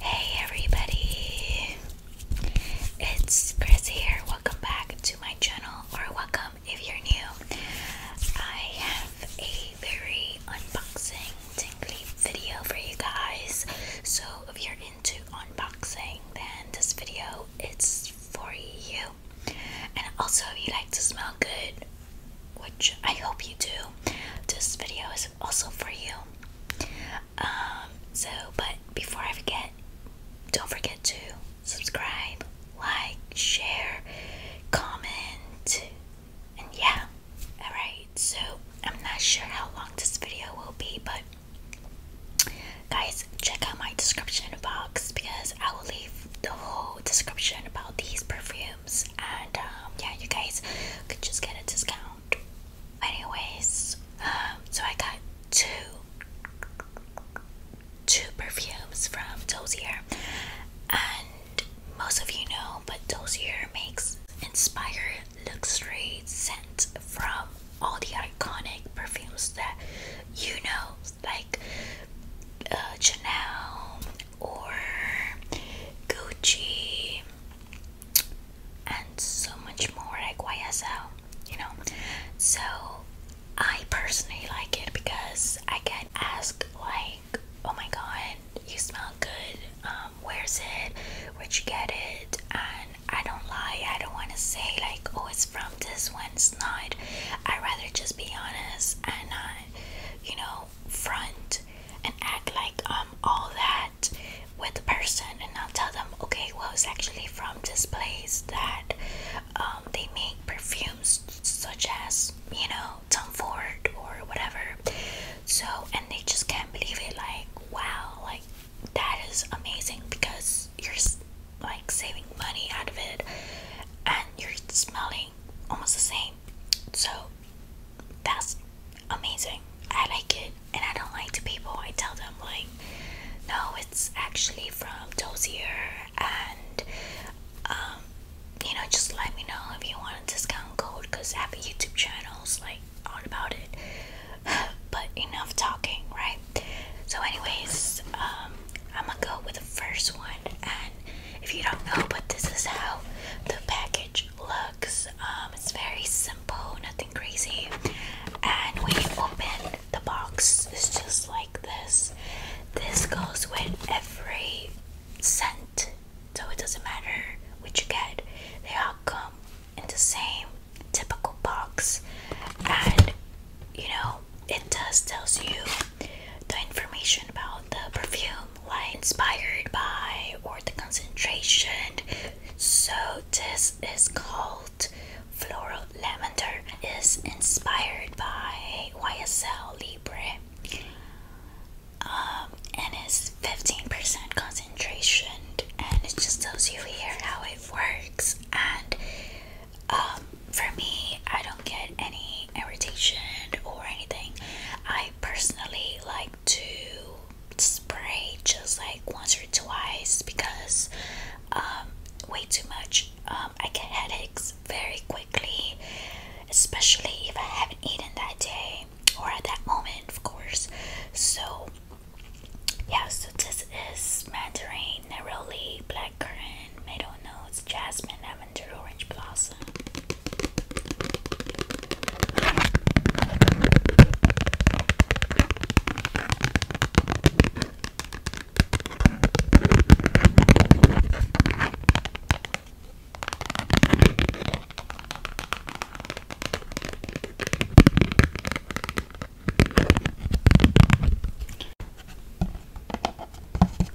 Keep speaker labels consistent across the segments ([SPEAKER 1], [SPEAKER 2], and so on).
[SPEAKER 1] Hey everybody, it's Chris here. Welcome back to my channel, or welcome if you're new. I have a very unboxing, tingly video for you guys. So if you're into unboxing, then this video is for you. And also, if you like to smell good, which I hope you do, this video is also for you. Um, so, but before I forget, don't forget to subscribe, like, share, comment, and yeah. Alright, so I'm not sure how long this video will be, but guys, check out my description box because I will leave the whole description about these perfumes and um, yeah you guys could just get a discount anyways um, so I got two two perfumes from Dozier and most of you know but Dozier makes inspired luxury scents from all the iconic perfumes that you know like uh, Chanel or Gucci and so much more like YSL, you know. So I personally like it because I can ask like, oh my god, you smell good, um, where's it, where'd you get it? And I don't lie, I don't wanna say like, oh it's from this one, it's not. I'd rather just be honest and not, you know, front and act like um all that with the person and I'll tell them okay well it's actually from this place that um they make perfumes such as you know Tom Ford or whatever so and they just can't believe it like wow like that is amazing because you're like saving money out of it and you're smelling almost the same so that's amazing i like it and i don't like to people i tell them like no it's actually from dozier and um you know just let me know if you want a discount code because i have youtube channels like all about it but enough talking right so anyways um i'm gonna go with the first one and if you don't know, but this is how the package looks. Um, it's very simple, nothing crazy. And we open the box, it's just like this. This goes with every scent, so it doesn't matter which you get, they all come in the same typical box. And you know, it does tells you the information about the perfume like inspired by or the concentration. So this is called Floral Lavender. is inspired by YSL Libre. Um, and it's 15% concentration and it just tells you here how it works and um, for me, I don't get any irritation or anything. I personally like to spray just like once or twice because um, way too much. Um, I get headaches very quickly, especially if I haven't eaten that day or at that moment, of course. So, yeah, so this is Mandarin Neroli Black blackcurrant, meadow notes, jasmine, lavender, orange blossom.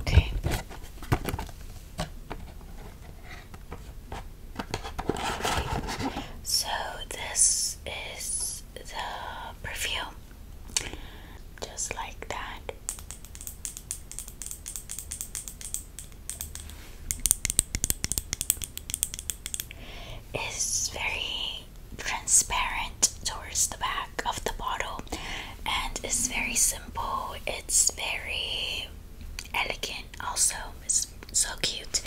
[SPEAKER 1] Okay. So this is the perfume. Just like that. It's very transparent towards the back of the bottle and it's very simple it's very elegant also it's so cute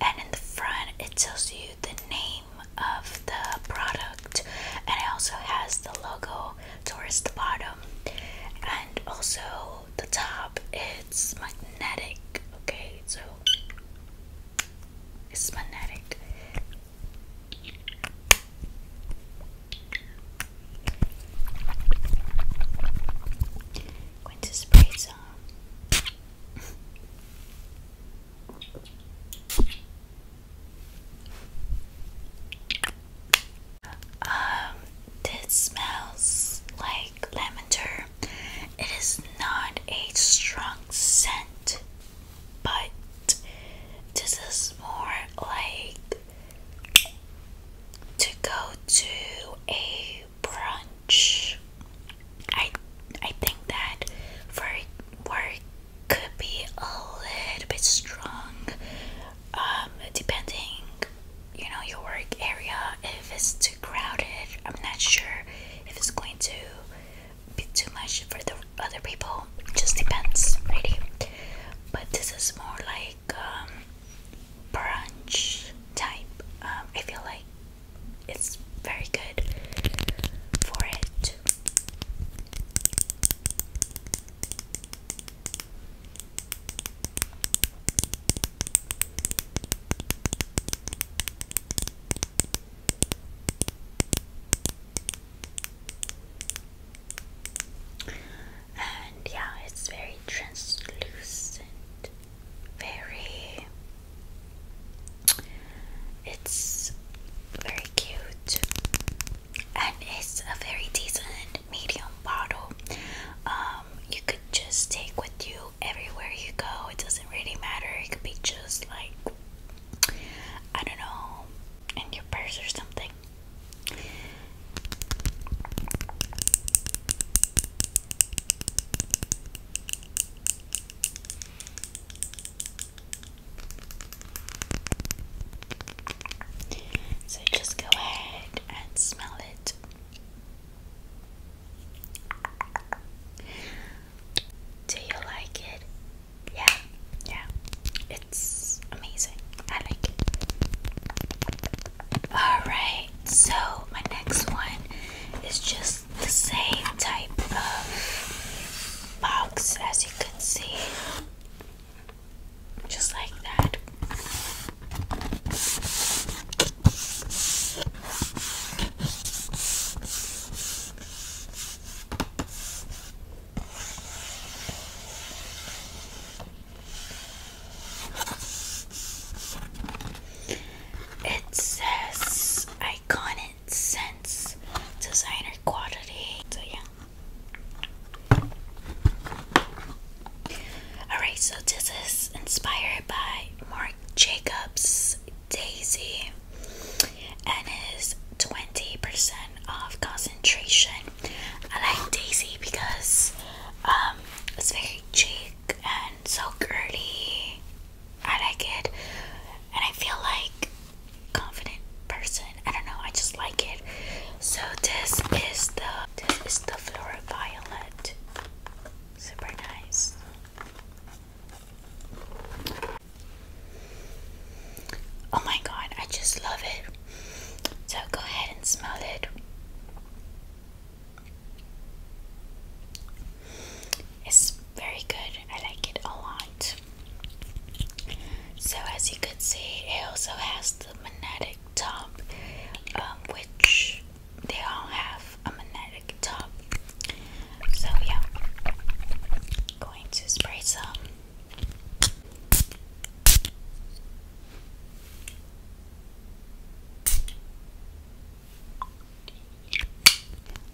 [SPEAKER 1] and in the front it tells you the name of the product and it also has the logo towards the bottom and also the top it's magnetic okay so it's magnetic Going to spray some. um, this smells like lavender. It is not a strong scent but this is more like to go to a brunch. I I think that for work could be a little bit strong, um, depending, you know, your work area. If it's too crowded, I'm not sure if it's going to be too much for the other people. It just depends, really. But this is more like um, brunch type. Um, I feel like it's very good for it. And yeah, it's very translucent, very. It's very cute, and it's a very decent medium bottle. Um, you could just take with you everywhere you go. It doesn't really matter. It could be just like I don't know, in your purse or something. So just go ahead and smell it. Do you like it? Yeah, yeah. It's amazing. I like it. Alright, so my next one is just the same type of box as you can see. Just like that. It says iconic sense designer quality. So yeah. Alright, so this is inspired by Mark Jacobs Daisy and is 20% off concentration. I like Daisy because um, it's very chic and so girly. I like it and I feel like confident person. I don't know, I just like it. So this is the this is the floral violet. Super nice. Oh my god, I just love it. So go ahead and smell it. It's very good. I like it a lot. So as you can see, it also has the magnetic top, um, which they all have a magnetic top. So yeah, going to spray some.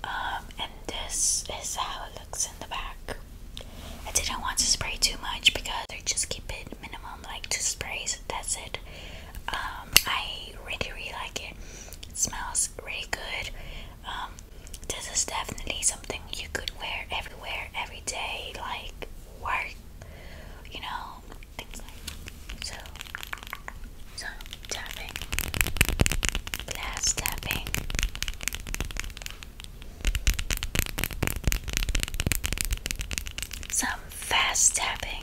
[SPEAKER 1] Um, and this is how it looks in the back. I didn't want to spray too much because I just keep it minimum like two sprays that's it. Um, I really really like it. It smells really good. Um, this is definitely something you could wear everywhere, every day, like work, you know, things like so. So tapping, glass tapping. Some fast tapping.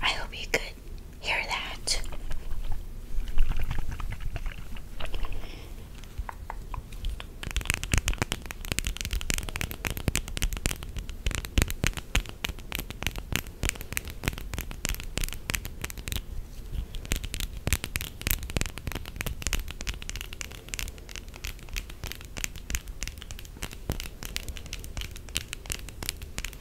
[SPEAKER 1] I hope you could Hear that?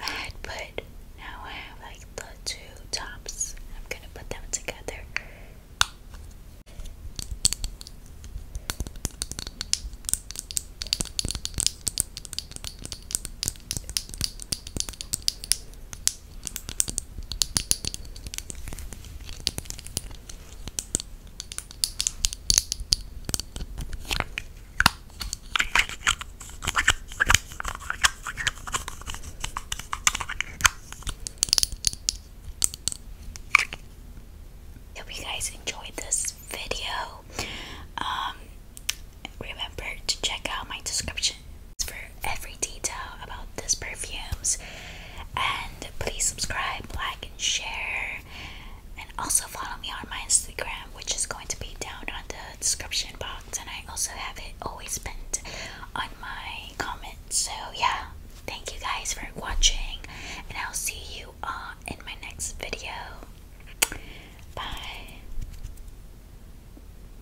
[SPEAKER 1] I had put, now I have like the two tops. I'm gonna put them together. Hope you guys enjoyed this video. Um, remember to check out my description for every detail about these perfumes. And please subscribe, like, and share. And also follow me on my Instagram, which is going to be down on the description box. And I also have it always pinned on my comments. So, yeah, thank you guys for watching. And I'll see you all in my next video. Bye.